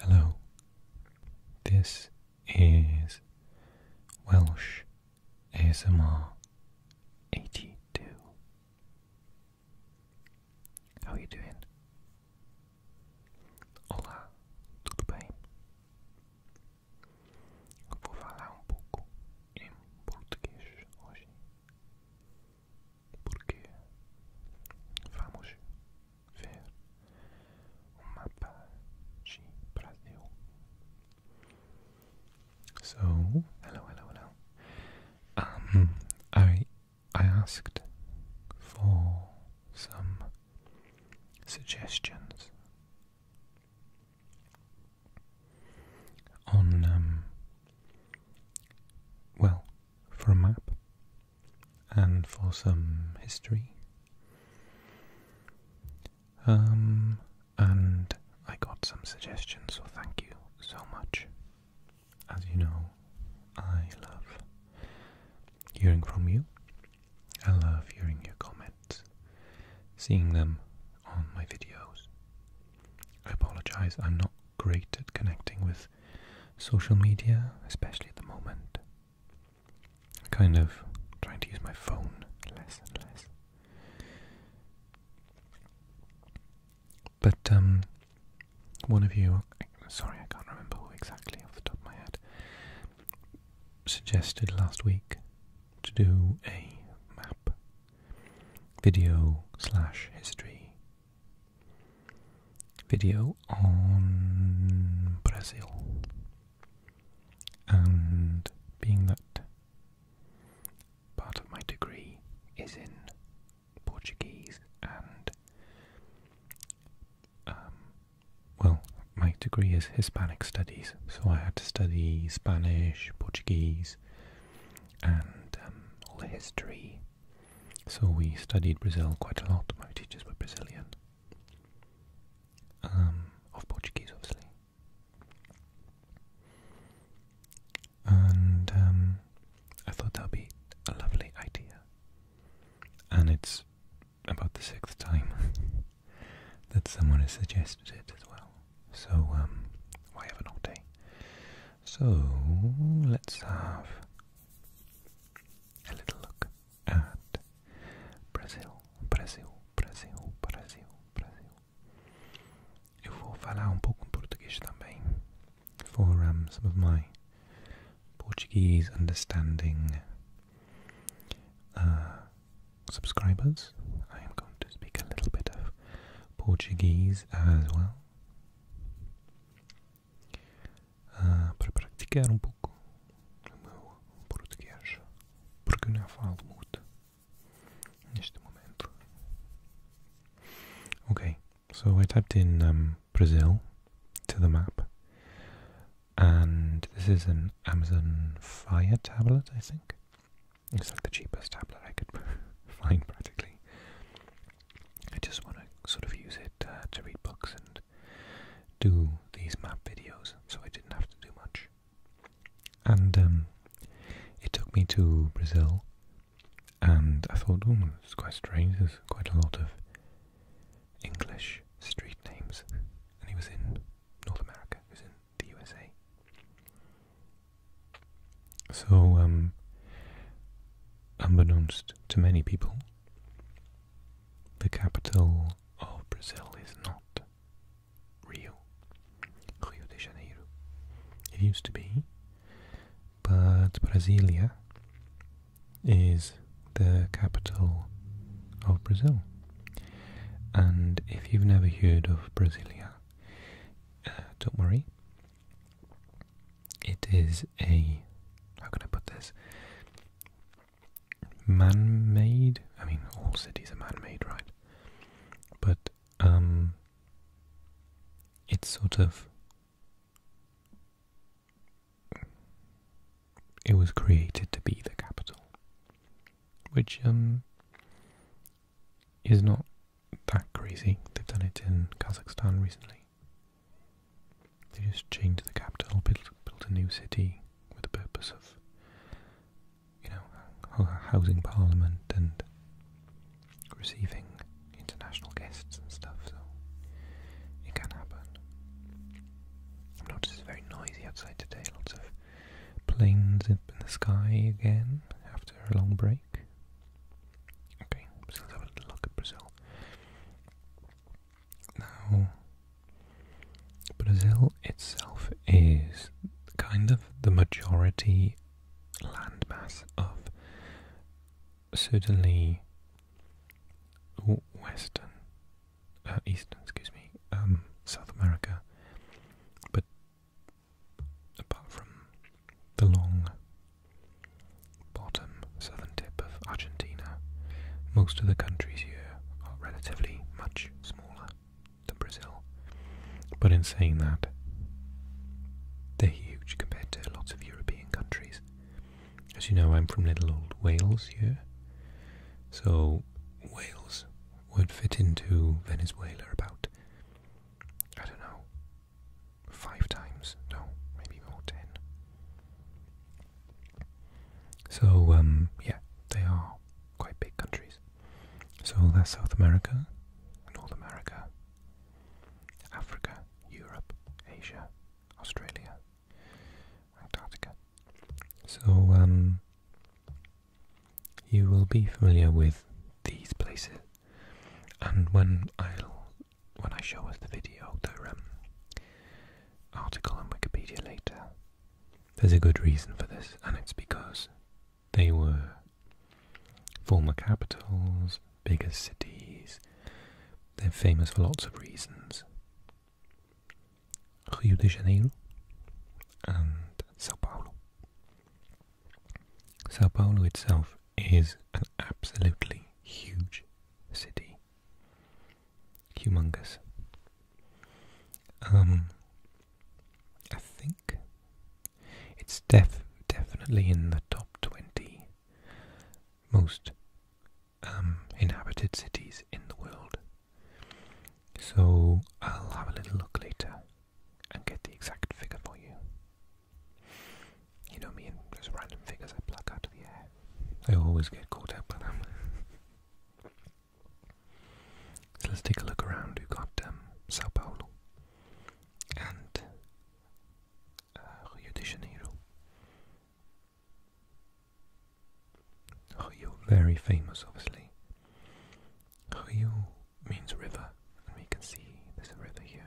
Hello, this is Welsh ASMR 82. How are you doing? Olá, tudo bem? Vou falar um pouco em português hoje. So, hello, hello, hello. Um, I I asked for some suggestions on um, well, for a map and for some history. Um, and I got some suggestions, so thank you so much. As you know, I love hearing from you. I love hearing your comments, seeing them on my videos. I apologize, I'm not great at connecting with social media, especially at the moment. Kind of trying to use my phone less and less. But um, one of you, sorry, I can't remember who exactly off the top of my head, suggested last week to do a map video slash history video on Brazil. And being that part of my degree is in Portuguese and, um, well, my degree is Hispanic studies, so I had to study Spanish, Portuguese, and um, all the history so we studied Brazil quite a lot. My teachers were Brazilian. Um, of Portuguese, obviously. And um, I thought that would be a lovely idea. And it's about the sixth time that someone has suggested it as well. So um, why haven't I? So let's have a little look at Brazil, Brazil, Brazil, Brazil. Brasil. Eu vou falar um pouco em português também, for some of my Portuguese understanding uh, subscribers. I am going to speak a little bit of Portuguese as well. Ah, um okay, so I typed in um, Brazil to the map, and this is an Amazon Fire tablet, I think. It's like the cheapest tablet I could find practically. I just want to sort of use it uh, to read books and do these map videos, so I didn't have to do much. And um, it took me to Brazil, and I thought, oh, it's quite strange, there's quite a lot of English street names. And he was in North America, he was in the USA. So, um, unbeknownst to many people, the capital of Brazil is not Rio, Rio de Janeiro. It used to be, but Brasilia is the capital of Brazil. And if you've never heard of Brasilia, uh, don't worry. It is a how can I put this? Man-made. I mean, all cities are man-made, right? But um, it's sort of. It was created to be the capital, which um is not that crazy. They've done it in Kazakhstan recently. They just changed the capital, built, a new city with the purpose of, you know, housing parliament and receiving international guests and stuff. So it can happen. I've noticed it's very noisy outside today. Lots of planes up in the sky again after a long break. Okay, still having a look at Brazil. Now, Brazil itself is kind of the majority landmass of certainly Western, uh, Eastern, excuse me, um, South America, but apart from the long bottom southern tip of Argentina, most of the countries here are relatively much smaller than Brazil. But in saying that, they're huge compared to lots of European countries. As you know, I'm from little old Wales here, so Wales would fit into Venezuela about, I don't know, five times. No, maybe more, ten. So, um, yeah, they are quite big countries. So that's South America, North America, Africa, Europe, Asia, Australia, Antarctica. So, um, you will be familiar with these places and when i when I show us the video, the um, article on Wikipedia later, there's a good reason for this, and it's because they were former capitals, bigger cities. They're famous for lots of reasons. Rio de Janeiro and Sao Paulo. Sao Paulo itself is an absolutely huge city. Humongous. Um, I think it's def definitely in the top 20 most um, inhabited cities in the world. So I'll have a little look later and get the exact figure for you. You know me and those random figures I pluck out of the air. I always get caught up by them. so let's take a look around. we got um, Sao Paulo and uh, Rio de Janeiro. Rio, very famous, obviously. Rio means river, and we can see there's a river here.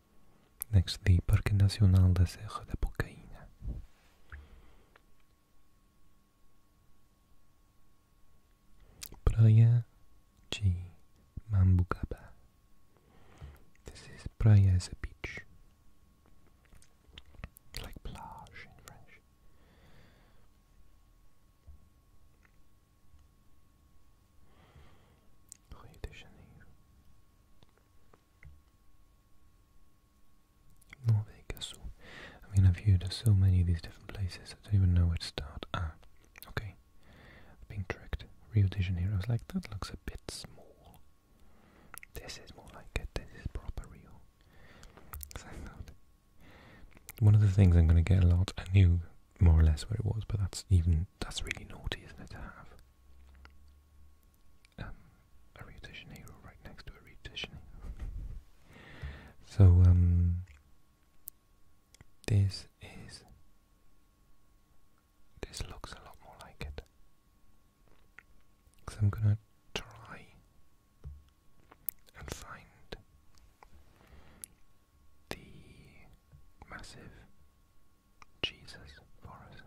Next, o Parque Nacional da Serra da Bocaína. Praia de Mambucaba. This is Praia as a beach. Like plage in French. Rio de Janeiro. Norvega I mean, I've viewed so many of these different places, I don't even know where to start. Ah, okay. I've Rio de Janeiro. I was like, that looks a bit small. This is more like it. This is proper Rio. One of the things I'm going to get a lot, a new more or less where it was, but that's even that's really naughty, isn't it, to have um, a Rio de right next to a Rio de so um, this is this looks a lot more like it. So I'm gonna try and find the massive Jesus for us.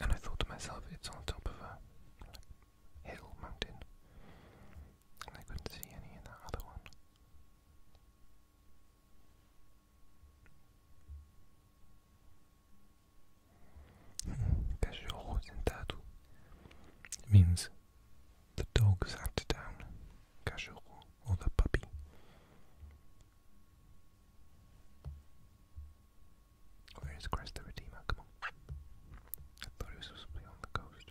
And I thought to myself, it's on top of a hill mountain. And I couldn't see any in that other one. Cachorro sentado means the dog sat down. Cachorro or the puppy. Where is Christ the Redeemer? Come on. I thought he was supposed to be on the coast.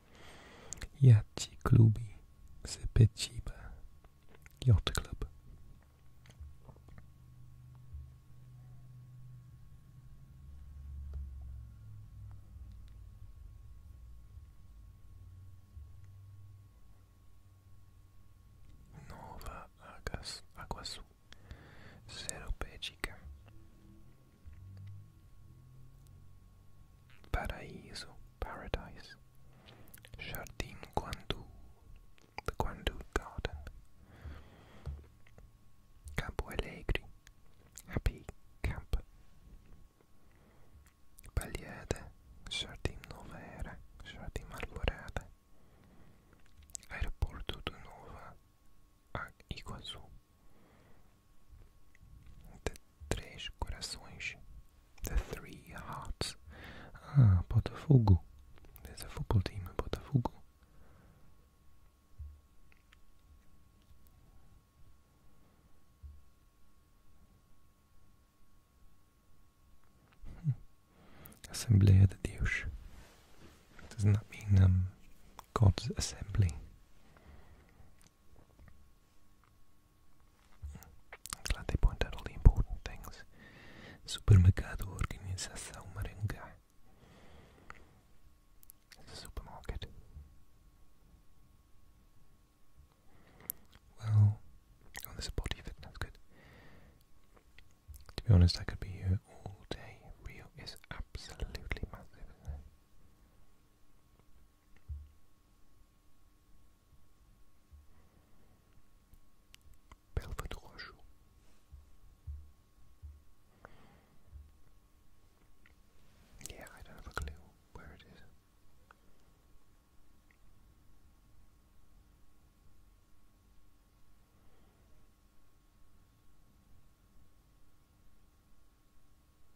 jak ci klubi zbyt ciba. Yacht Club. Nova Agas, Aguasu, Seropédica, Paraíso. paradise, Jardim Guandu, the Guandu Garden, Campo Alegre, Happy Camp, Pagliade, Jardim Novera, Jardim Arborada, Aeroporto do Nova Iguazu, the Três Corações, the Three Hearts. Ah, Botafogo. There's a football team in Botafogo. Hmm. Assembleia de Deus. does that mean um, God's assembly? I'm glad they point out the important things. Supermercado Organização Maringá. It's supermarket. Well, oh, there's a body fit, that's good. To be honest, I could be here all day. Rio is absolutely massive, Père votre Yeah, I don't have a clue where it is.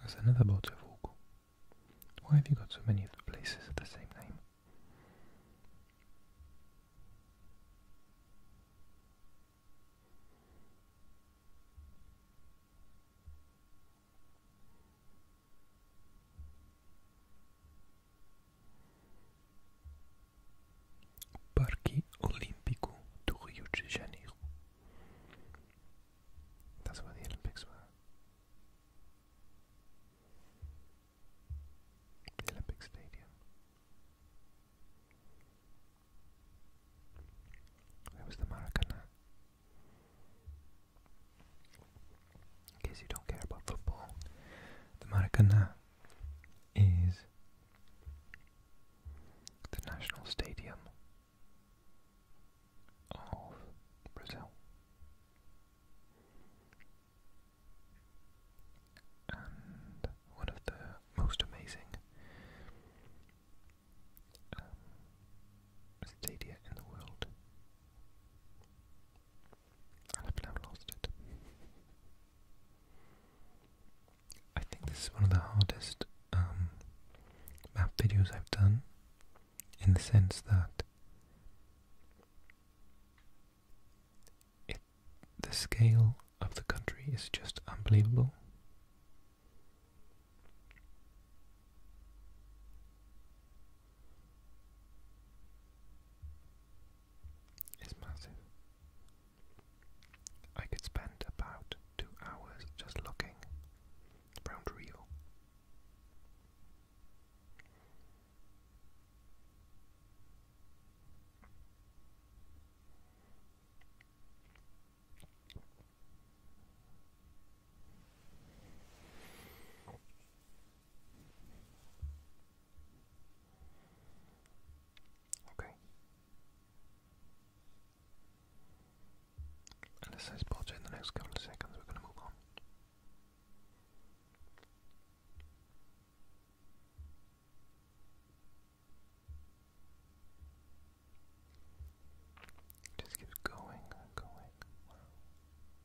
That's another boat of Orgo. Why have you got so many of the places at the same name? Parque Olímpico do Rio de Janeiro. That's where Olympics were. The Olympic Stadium. Where was the Maracana? in case you don't care about football, the Maracana is the national stadium of Brazil. And one of the most amazing um, in the world. I've now lost it. I think this is one of the hardest um, map videos I've done, in the sense that the scale of the country is just unbelievable. It's massive. I could spend about two hours just looking around Rio. Ok. Unless I spot you in the next couple of seconds, we're going to move on. Just keeps going going.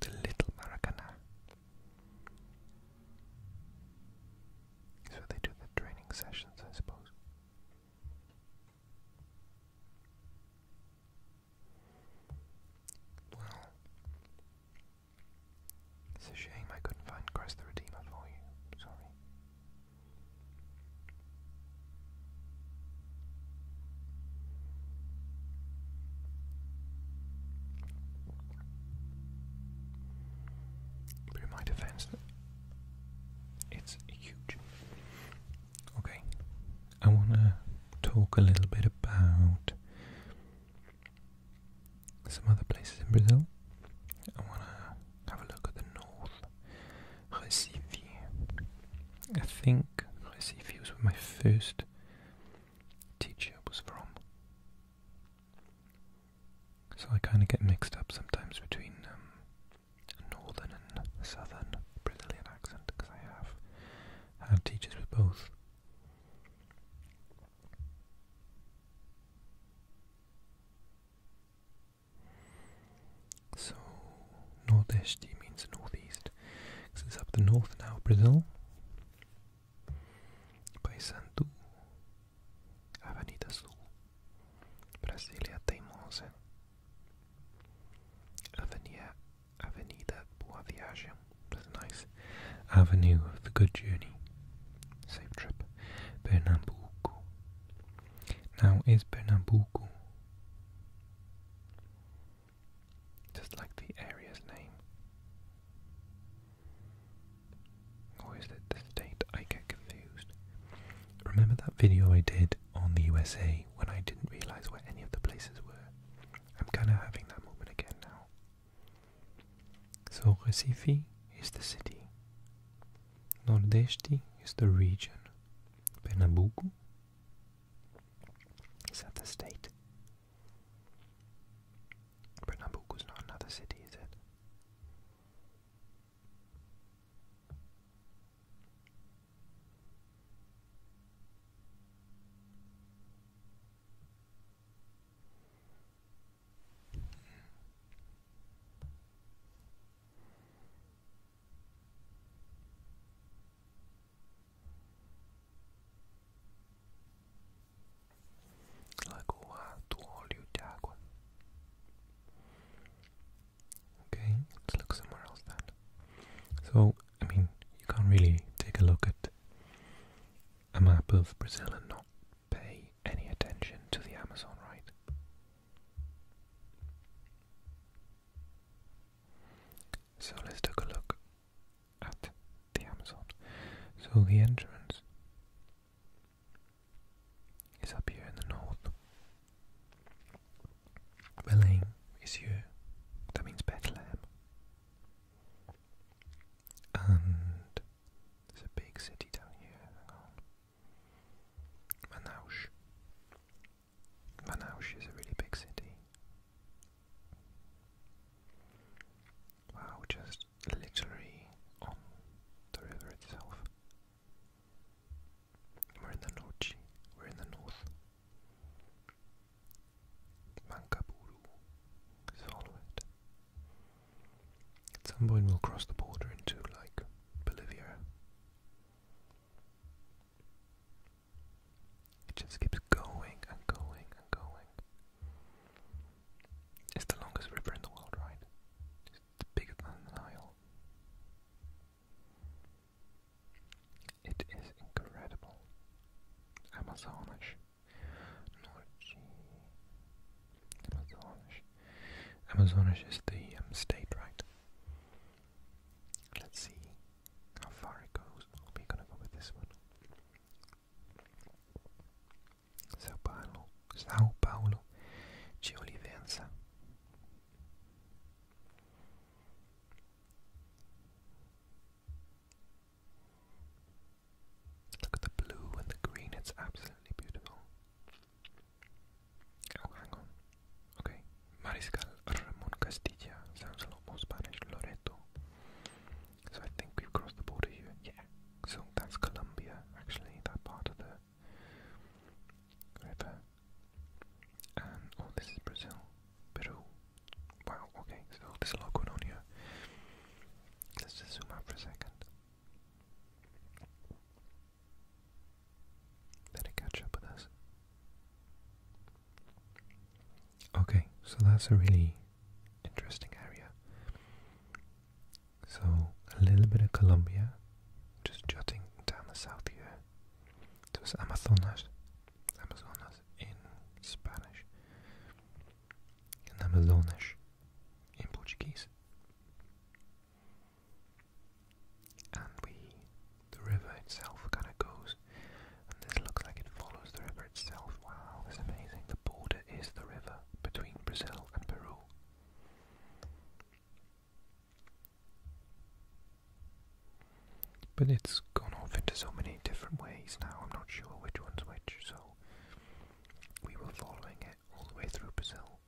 the Little Maracana. So they do the training sessions, I suppose. Well, it's a shame I couldn't find Christ the Redeemer for you. Sorry in my defense, it's huge. Okay, I want to talk a little bit about some other places in Brazil. I want to have a look at the north, Recife. I think Recife was my first teacher was from. So I kind of get mixed up sometimes between um, northern and southern Brazilian accent because I have had teachers with both. So, Nordeste means northeast because it's up the north now, Brazil. Paysandu, Avenida Sul, Brasilia Teimosa, Avenida, Avenida Boa Viagem, that's nice, Avenue of the Good Journey, safe trip, Pernambuco. Now, is Pernambuco just like the area's name. Or is it the state? I get confused. Remember that video I did on the USA when I didn't realize where any of the places were? I'm kind of having that moment again now. So, Recife is the city, Nordeste is the region, Pernambuco is that the state, is not another city, is it? Okay, let's look somewhere else then. So, I mean, you can't really take a look at a map of Brazil and not pay any attention to the Amazon, right? So let's take a look at the Amazon. So the entrance is up here in the north. Belém is here, that means Bethlehem. And there's a big city down here, Manaus. Manaus is a really big city. Wow, just literally on the river itself. We're in the Nochi, we're in the north. Mankapuru, follow it. At some point we'll cross the border into, like, Bolivia. It just keeps going and going and going. It's the longest river in the world, right? It's bigger than the Nile. It is incredible. Amazonas. Norte. Amazonas. Amazonas is the um, state, right? Let's see how far it goes. We're gonna go with this one. Sao Paulo, Sao Paulo de Look at the blue and the green, it's absolutely beautiful. Oh, hang on. Okay, Mariscal Ramon Castilla sounds a lot more Spanish. Loreto, so I think we've crossed the border here. Yeah. So that's Colombia, actually, that part of the river. And oh, this is Brazil, Peru. Wow. Okay. So there's a lot going on here. Let's just zoom out for a second. Let it catch up with us. Okay, so that's a really interesting area. So a little bit of Colombia, just jutting down the south here. It was Amazonas, Amazonas in Spanish, and Amazonas in Portuguese. And we, the river itself, kind of goes falls. this looks like it follows the river itself. Wow, that's amazing. The border is the river between Brazil and Peru. But it's gone off into so many different ways now, I'm not sure which one's which, so we were following it all the way through Brazil.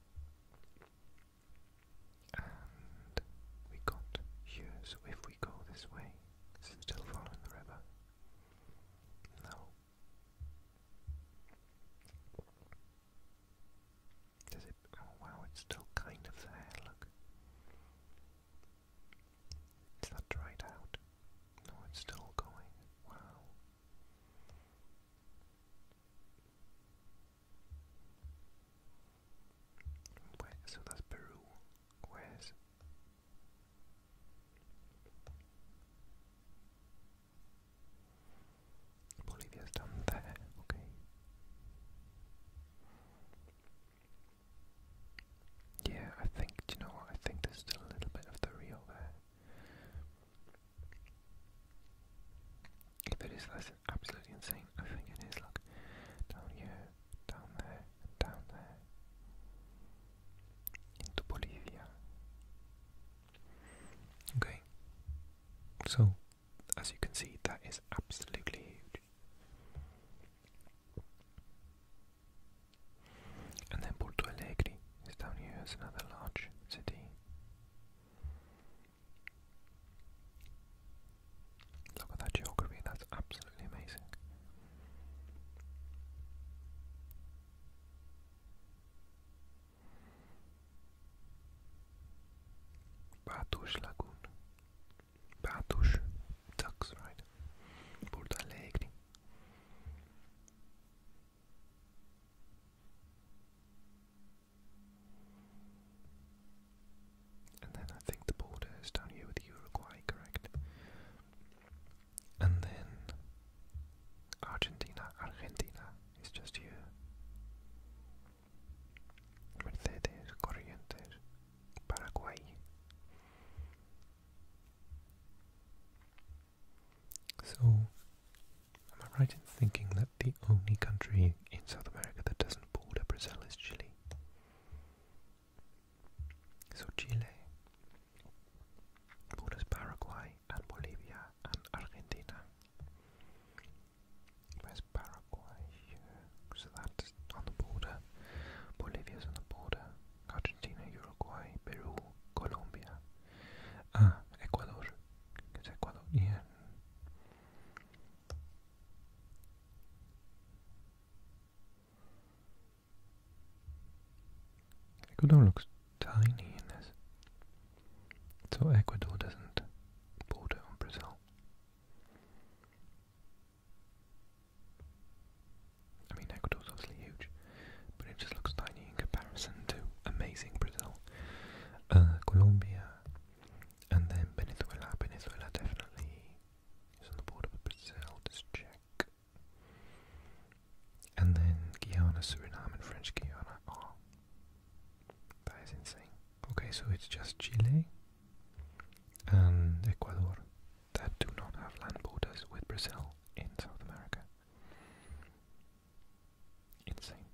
And we got here, so if we go this way, is it still following the river? No. Does it? Oh wow, it's still kind of there, look. Is that dried out? No, it's still going. Wow. Where, so that's Peru. Where's Bolivia's done there, okay. Yeah, I think, do you know what? I think there's still a little bit of the Rio there. it is, that's absolutely insane. I think it is. Look, down here, down there, down there, into Bolivia. Okay, so as you can see, that is absolutely huge. And then Porto Alegre is down here as another large city. Look at that geography, that's absolutely amazing. Batush Lagoon. Batush ducks, right? Porto Alegre. And then I think the border is down here with Uruguay, correct? And then Argentina, Argentina is just here. Mercedes, Corrientes, Paraguay. So, am I right in thinking that the only country in South America that doesn't border Brazil is Chile? So Chile borders Paraguay and Bolivia and Argentina. Where's Paraguay? So that's on the border. Bolivia's on the border. Argentina, Uruguay, Peru, Colombia. Ah, Ecuador. It's Ecuadorian. Ecuador looks tiny in this. So Ecuador doesn't border on Brazil. I mean, Ecuador's obviously huge, but it just looks tiny in comparison to amazing Brazil, uh, Colombia, and then Venezuela. Venezuela definitely He's on the board of Brazil, just check. And then Guyana, Suriname, and French Guiana. Oh, that is insane. Okay, so it's just Chile and Ecuador that do not have land borders with Brazil in South America. Insane.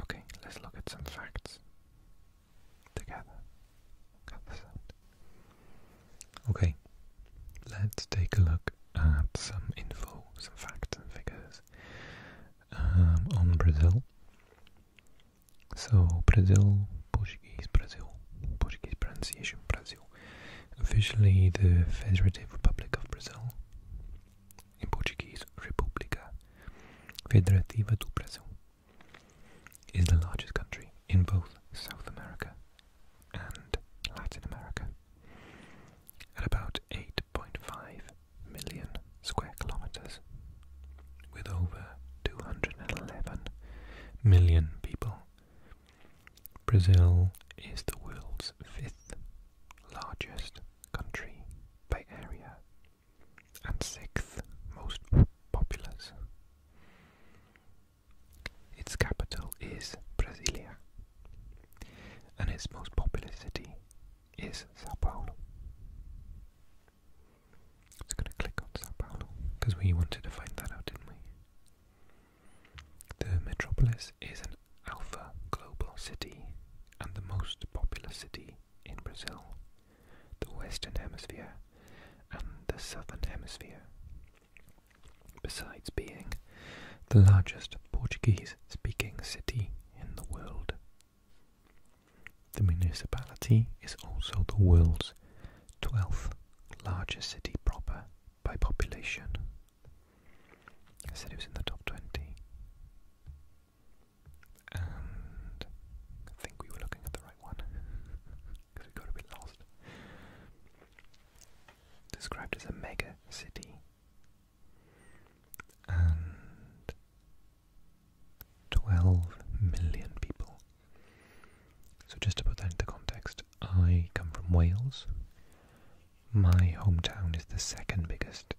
Okay, let's look at some facts. Okay, let's take a look at some info, some facts and figures um, on Brazil. So, Brazil, Portuguese, Brazil, Portuguese pronunciation, Brazil. Officially the Federative Republic of Brazil, in Portuguese, República Federativa do Brasil is the largest country in both South America and Latin America at about 8.5 million square kilometers with over 211 million people. Brazil is the world's fifth largest country by area and sixth most populous. Its capital is Brasilia, and its most populous city is Sao Paulo. i going to click on Sao Paulo because we wanted to find that out, didn't we? The metropolis is an alpha global city and the most populous city in Brazil, the Western Hemisphere, and the Southern Hemisphere. Besides being the largest Portuguese speaking city in the world, the municipality is also the world's 12th largest city proper by population. I said it was in the top 20. I think we were looking at the right one because we got a bit lost. Described as a mega city. And 12 million people. So, just to put that into context, I come from Wales. My hometown is the second biggest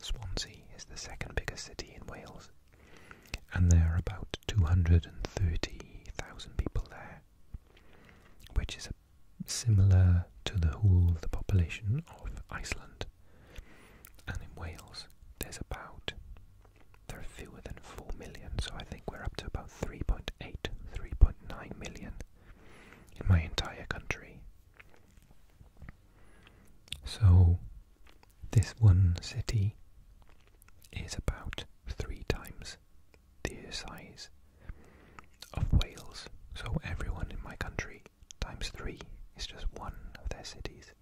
Swansea is the second biggest city in Wales, and there are about 230,000 people there, which is similar to the whole of the population of Iceland. And in Wales, there's about there are fewer than 4 million, so I think we're up to about 3.8, 3.9 million in my entire country. So this one city is about three times the size of Wales. So everyone in my country times three is just one of their cities.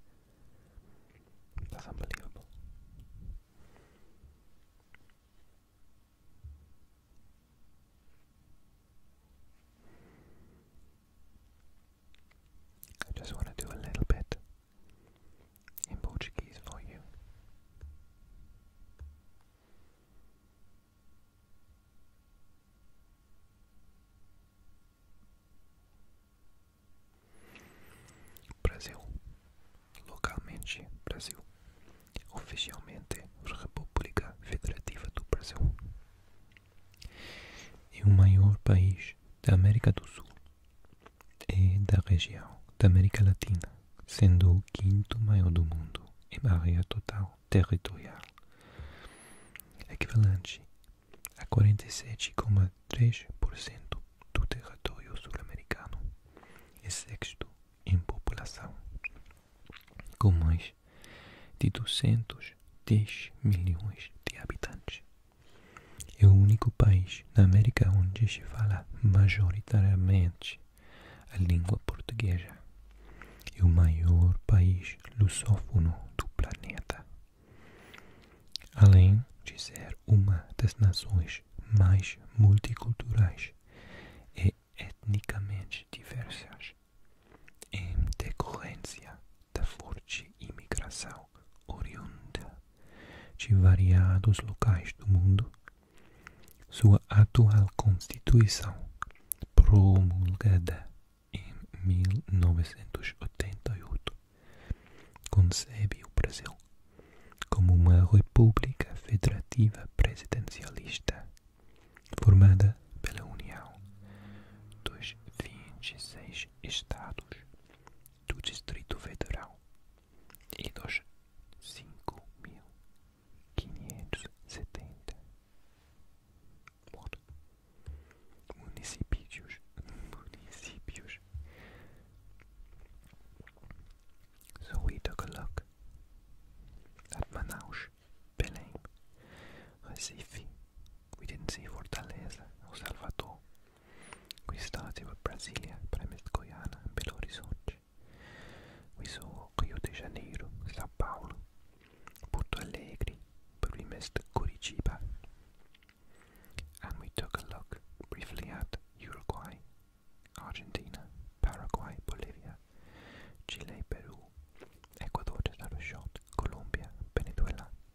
That's unbelievable. I just want to do a little bit in Portuguese for you. Brasil, localmente Brasil, oficialmente República Federativa do Brasil é o maior país da América do Sul e é da região da América Latina, sendo o quinto maior do mundo em área total territorial, equivalente a 47,3% do território sul-americano e sexto em população, com mais de 210 milhões de habitantes. É o único país na América onde se fala majoritariamente a língua portuguesa. É o maior país lusófono do planeta. Além de ser uma das nações mais multiculturais e etnicamente diversas, em decorrência da forte imigração oriunda de variados locais do mundo, sua atual Constituição, promulgada em 1988, concebe o Brasil como uma república federativa presidencialista, formada pela união dos 26 estados do Distrito Federal e dos 5.570 municípios, So we took a look at Manaus, Belém, Recife, we didn't see Fortaleza or Salvador. We started with Brasilia, but I missed Guyana and Belo Horizonte. We saw Rio de Janeiro, Sao Paulo, Porto Alegre, but we missed Curitiba. And we took a look briefly at Uruguay, Argentina, Paraguay, Bolivia, Chile, Peru, Ecuador, just out Colombia, Venezuela,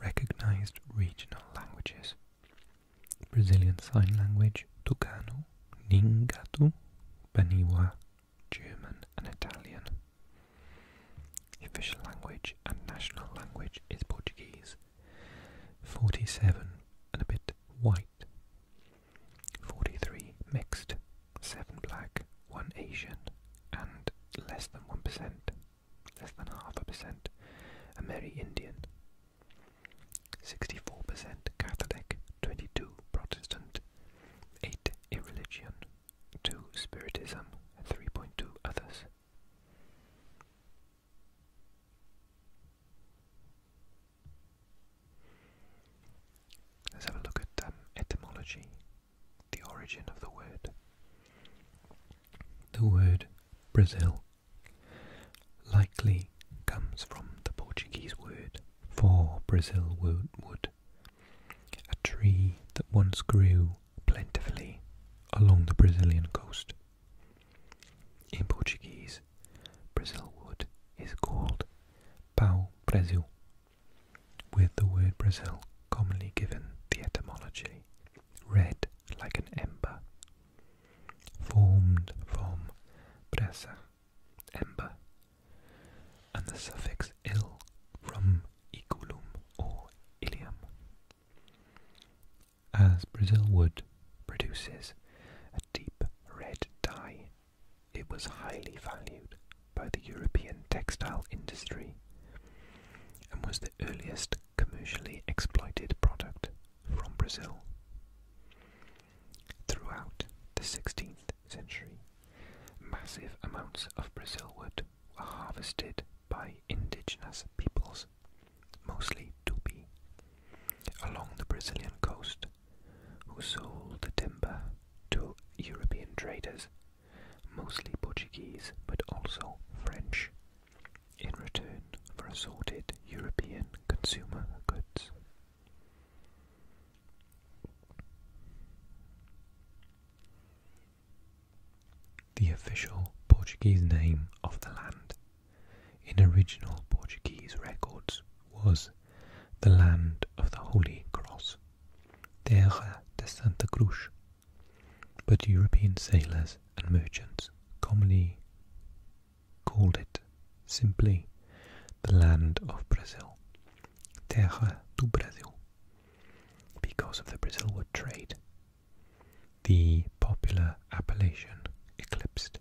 Recognized regional languages Brazilian Sign Language, Tucano, Ningatu, Baniwa, German, and Italian. official language and national language is Portuguese. 47 and a bit white. 43 mixed seven black, one Asian, and less than one percent, less than half a percent, a Ameri Indian. 64% Catholic, 22 Protestant, 8 Irreligion, 2 Spiritism, and 3.2 others. Let's have a look at um, etymology, the origin of the word. The word Brazil likely comes from the Portuguese word for Brazil wood, a tree that once grew plentifully along the Brazilian coast. In Portuguese, Brazil wood is called pau Brasil with the word Brazil commonly given the etymology red like an ember, formed from brasa, ember, and the suffix il from iculum or ilium. As Brazil wood produces a deep red dye it was highly valued by the European textile industry and was the earliest commercially exploited product from Brazil. Throughout the 16th century, massive amounts of Brazilwood were harvested by indigenous peoples, mostly Tupi, along the Brazilian coast, who sold the timber to European traders, mostly Portuguese but also French, in return for assorted European consumer goods. The official Portuguese name of the land in original Portuguese records was the land of the Holy Cross. Terra de Santa Cruz, but European sailors and merchants commonly called it simply the land of Brazil, Terra do Brasil, because of the Brazilwood trade. The popular appellation eclipsed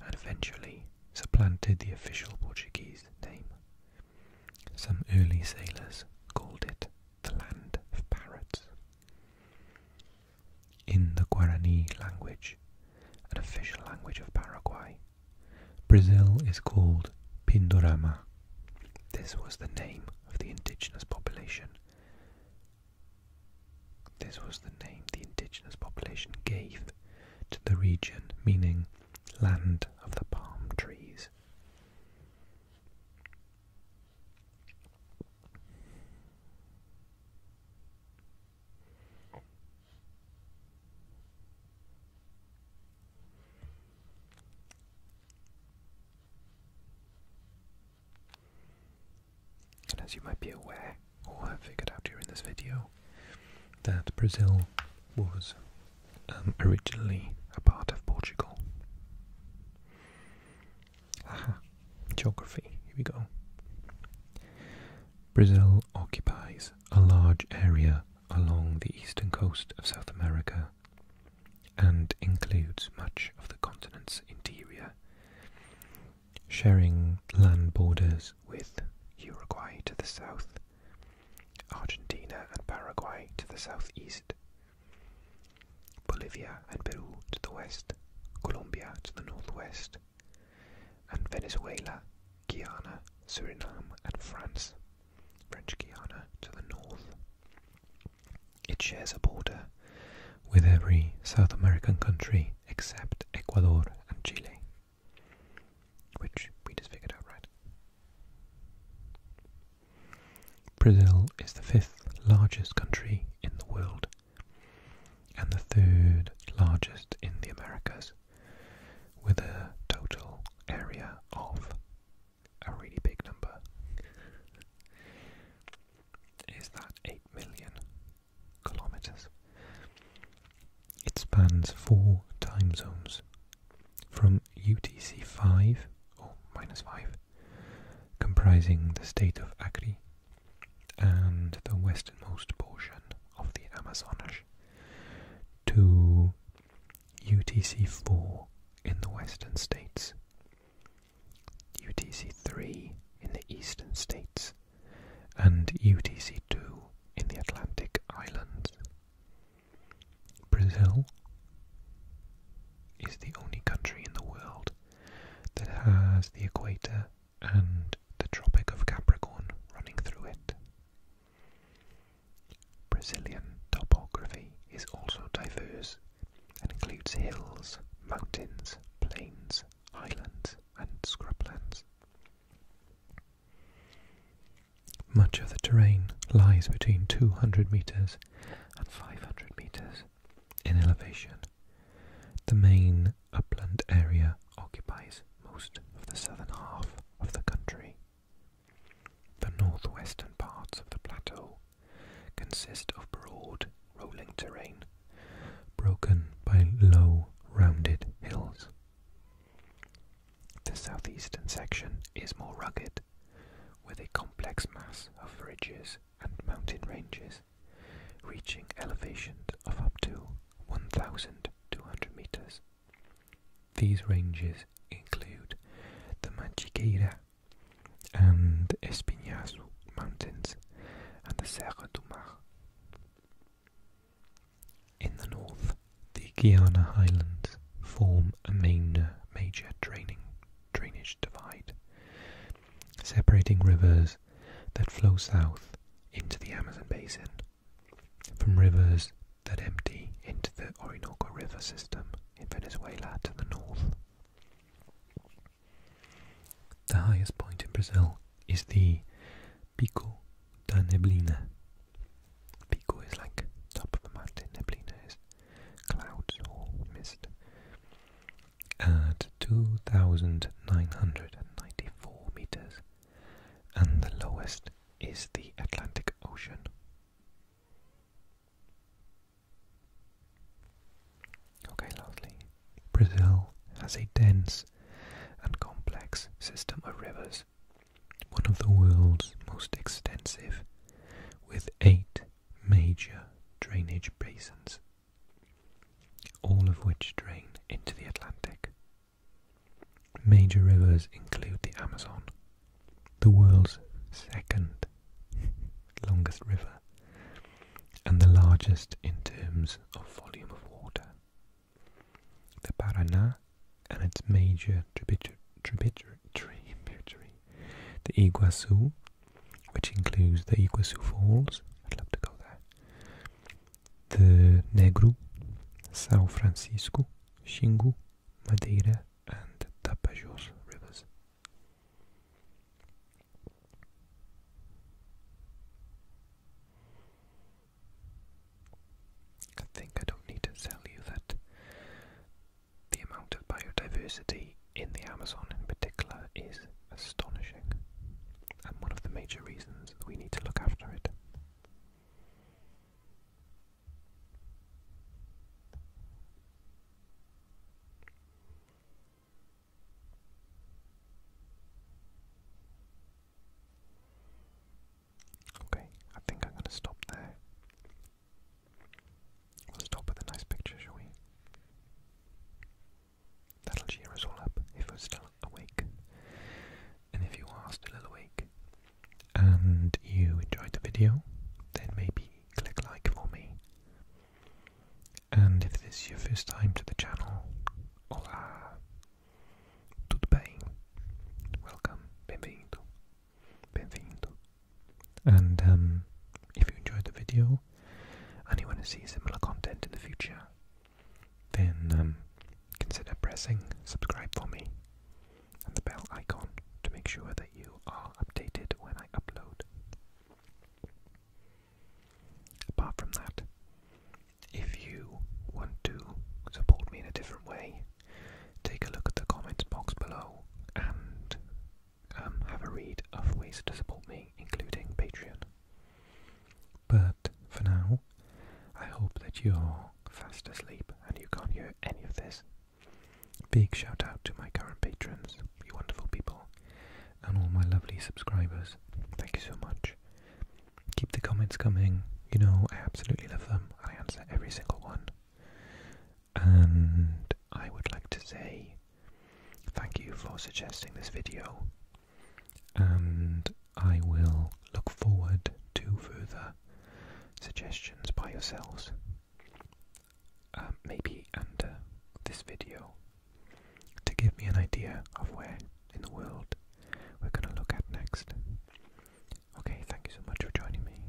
and eventually supplanted the official Portuguese name, some early sailors called it the land of parrots. In the Guarani language, an official language of Paraguay, Brazil is called Pindorama. This was the name of the indigenous population. This was the name the indigenous population gave to the region, meaning land of the palm trees. And as you might be aware, or have figured out during this video, that Brazil was um, originally a part of Portugal. geography, here we go. Brazil occupies a large area along the eastern coast of South America and includes much of the continent's interior, sharing land borders with Uruguay to the south Argentina and Paraguay to the southeast, Bolivia and Peru to the west, Colombia to the northwest, and Venezuela, Guyana, Suriname, and France, French Guiana to the north. It shares a border with every South American country except Ecuador and Chile. Which we just figured out, right? Brazil is the fifth largest country in the world and the third largest in the Americas, with a total area of a really big number. Is that 8 million kilometers? It spans four time zones from UTC-5 or minus 5, comprising the state of Acre and the westernmost portion of the Amazonas, to UTC-4 in the western states, UTC-3 in the eastern states, and UTC-2 in the Atlantic Islands. Brazil is the only country in the world that has the equator and the Tropic of Capricorn running through it. Brazilian topography is also diverse and includes hills, mountains, plains, islands, and scrublands. Much of the terrain lies between 200 meters and 500 meters in elevation. The main upland area occupies most of the southern half of the country. The northwestern parts of the plateau consist of broad, rolling terrain broken by low, rounded hills. The southeastern section is more rugged, with a complex mass of ridges and mountain ranges, reaching elevations of up to 1,200 meters. These ranges include the Manchiqueira and Espinhaçu mountains and the Serra do Mar. In the north, the Guiana Highlands form a main, uh, major draining, drainage divide, separating rivers that flow south into the Amazon basin from rivers that empty into the Orinoco River system in Venezuela to the north. The highest point in Brazil is the Pico da Neblina Pico is like top of a mountain, Neblina is clouds or mist. At 2,994 meters, and the lowest is the Atlantic Ocean. Okay, lastly, Brazil has a dense and complex system of rivers one of the world's most extensive, with eight major drainage basins, all of which drain into the Atlantic. Major rivers include the Amazon, the world's second longest river, and the largest in terms of volume of water the Paraná and its major tributary, the Iguazu, which includes the Iguazu Falls, I'd love to go there, the Negro, São Francisco, Xingu, Madeira, and Tapajós rivers. I think I don't need to tell you that the amount of biodiversity in the Amazon in particular is astonishing and one of the major reasons that we need to look after it. Okay, I think I'm going to stop there. We'll stop with a nice picture, shall we? That'll cheer us all up if we're still awake. And if you are still awake and you enjoyed the video, then maybe click like for me. And if this is your first time to the channel, hola, tudo bem? Welcome, bem-vindo. Benvenuto. And um, if you enjoyed the video and you want to see similar content in the future, then um, consider pressing subscribe for me and the bell icon to make sure that you are updated when I upload. Apart from that, if you want to support me in a different way, Take a look at the comments box below and um, have a read of ways to support me, including Patreon. But for now, I hope that you're fast asleep and you can't hear any of this. Big shout out to my current patrons, you wonderful people, and all my lovely subscribers. Thank you so much. Keep the comments coming, you know, I absolutely love them. I answer every single one. And I would like to say thank you for suggesting this video. And I will look forward to further suggestions by yourselves. Um, maybe under this video to give me an idea of where in the world we're going to look at next. Okay, thank you so much for joining me.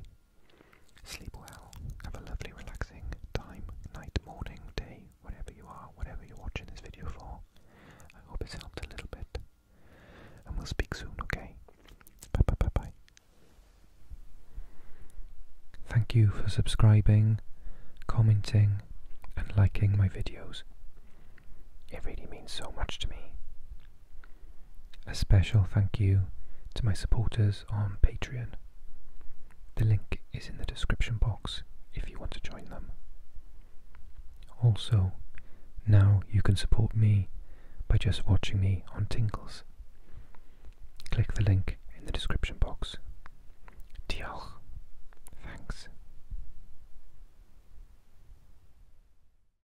Sleep well. Have a lovely, relaxing time, night, morning, day, whatever you are, whatever you're watching this video for. I hope it's helped a little bit. And we'll speak soon, okay? Bye bye bye bye. Thank you for subscribing, commenting, and liking my videos. It really means so much to me. A special thank you to my supporters on Patreon. The link is in the description box if you want to join them. Also, now you can support me by just watching me on Tinkles. Click the link in the description box. Diolch. Thanks.